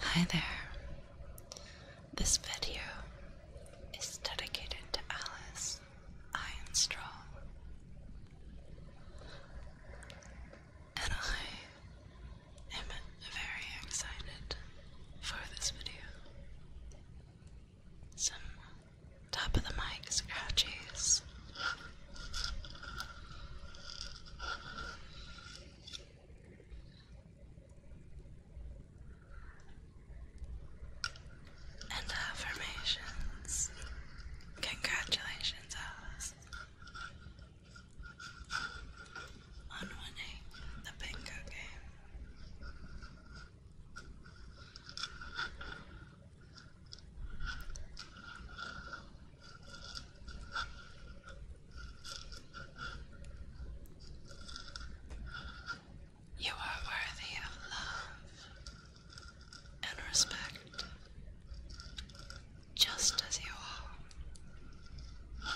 Hi there. This video is dedicated to Alice Ironstraw. And I am very excited for this video. Some top of the mic scratches. And affirmations. Congratulations, Alice. On winning the bingo game. You are worthy of love and respect, just as you are.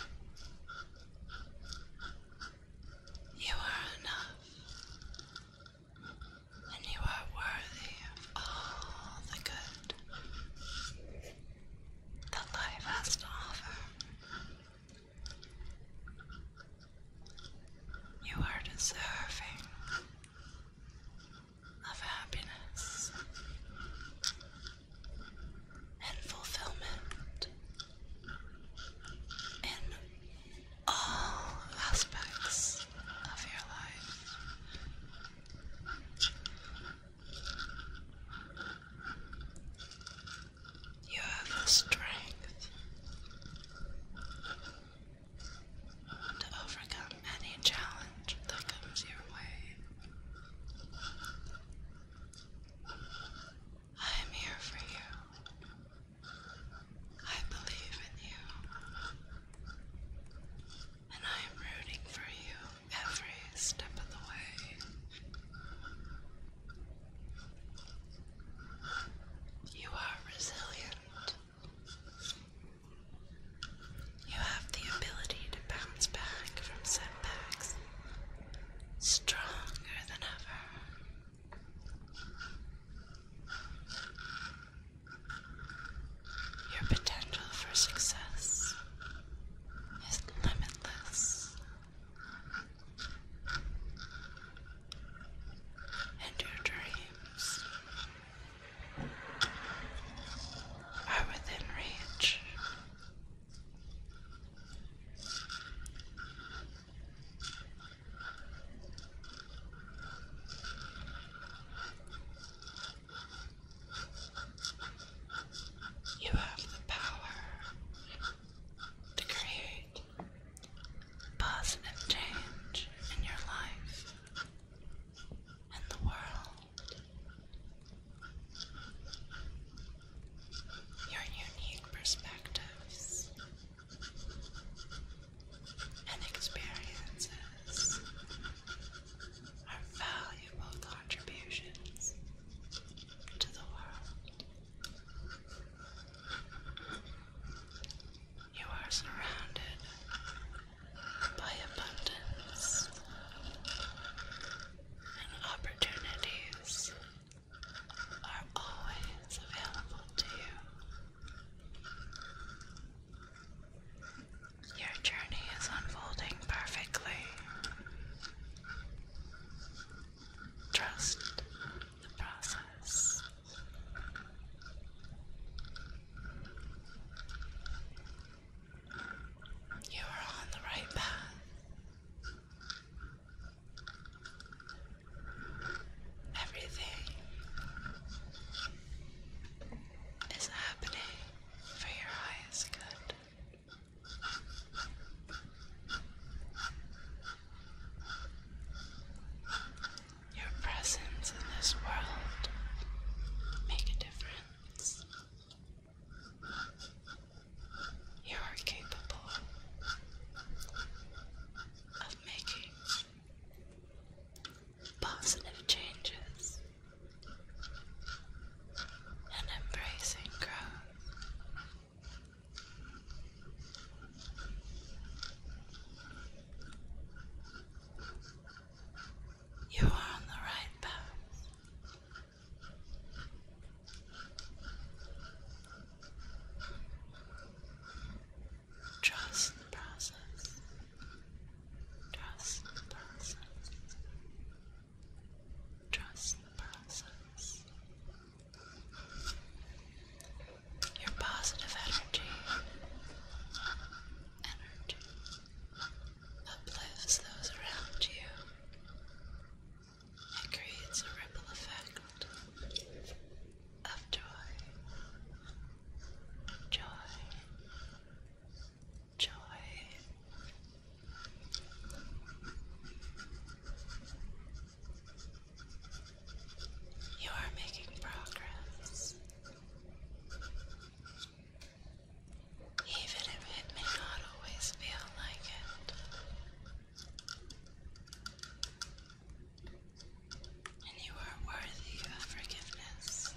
You are enough, and you are worthy of all the good the life has to offer. You are deserving of happiness and fulfillment in all aspects of your life. You have the strength to overcome any challenge that comes your way. I am here for you. I believe in you and I am rooting for you every step of the way. You are resilient. You have the ability to bounce back from setbacks stronger than ever. Your potential for success is limitless, and your dreams are within reach. You have the power to create positive change in your life and the world. Your unique perspectives and experiences are valuable contributions to the world. You are surrounded by abundance and opportunities are always available to you. Your journey is unfolding perfectly. Trust the process. You are on the right path. Everything is happening for your highest good. Your presence in this world make a difference. You are capable of making positive changes and embracing growth. You are on the right path. Trust the process. Trust the process. Trust the process. Your positive energy, energy uplifts those around you it creates a ripple effect of joy, joy, joy. You are making progress. Even if it may not always feel like it, and you are worthy of forgiveness,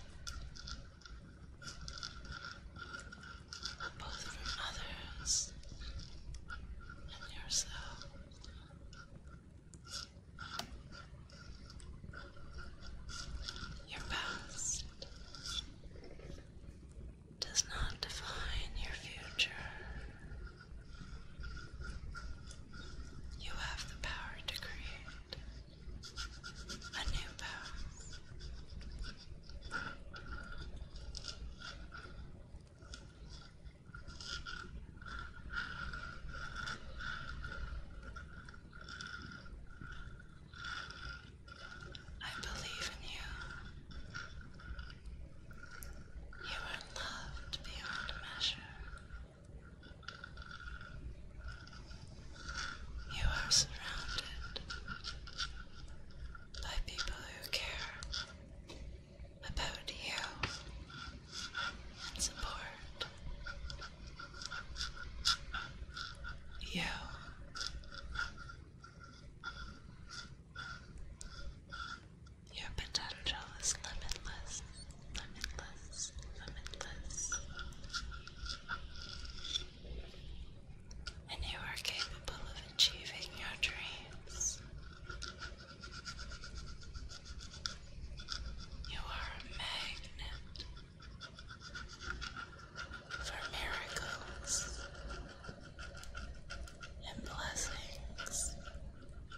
both from others and yourself. Your past does not define your future. You have the power to create a new path. I believe in you. You are loved beyond measure. You are surrounded by people who care about you and support you. Your potential is limitless, limitless, limitless. And you are capable of achieving your dreams. You are a magnet for miracles and blessings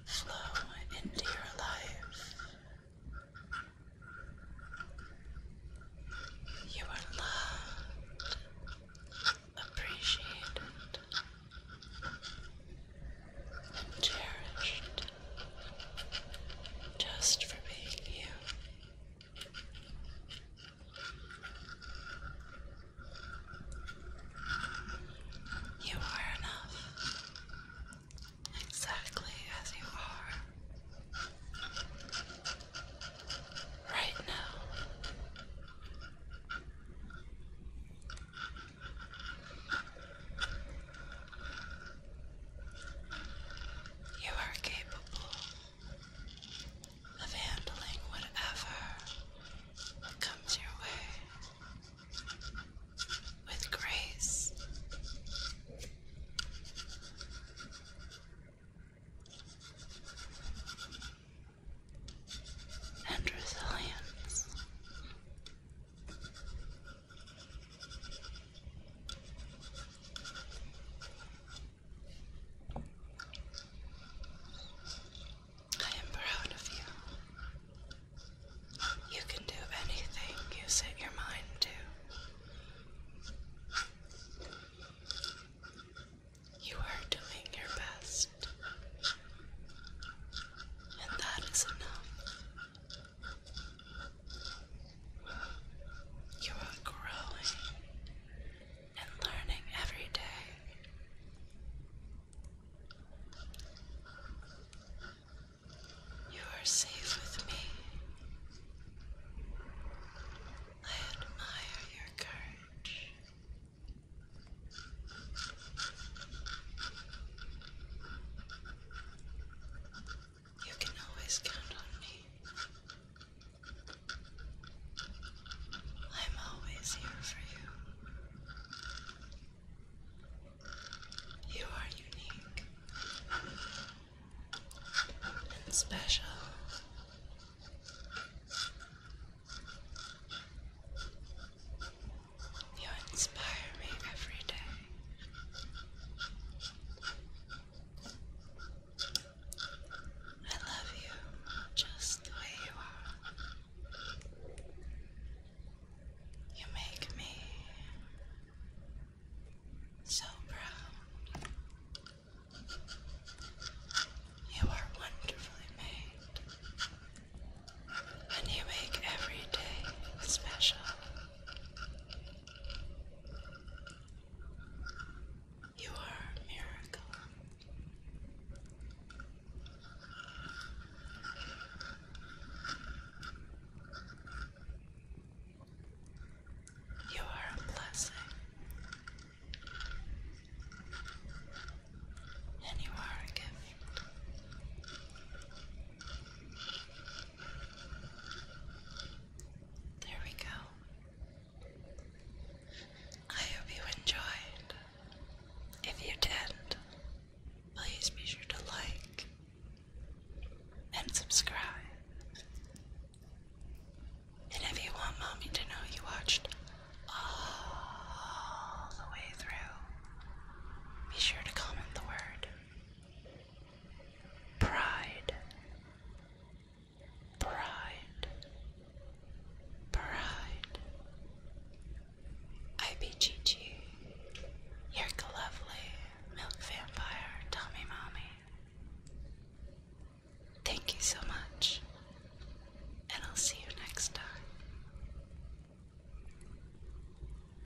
flow into your life. You are loved, appreciated, cherished just for being you. You are enough, exactly as you are, right now. You are capable of handling whatever comes your way with grace. And resilience. I am proud of you. You can do anything you set your mind to. You are doing your best, and that is enough. You are growing and learning every day. You are safe with me. I admire your courage. You can always count on me. I'm always here for you. You are unique and special. You inspire me every day. I love you just the way you are. You make me so proud. You are wonderfully made, and you make every day special. You are a miracle. You are a blessing, and you are a gift. There we go. I hope you enjoyed. If you did, please be sure to like and subscribe. And if you want mommy to know you watched all the way through, be sure to comment the word Pride, pride, pride. IBGG, your lovely milk vampire, Tommy Mommy. Thank you so much, and I'll see you next time.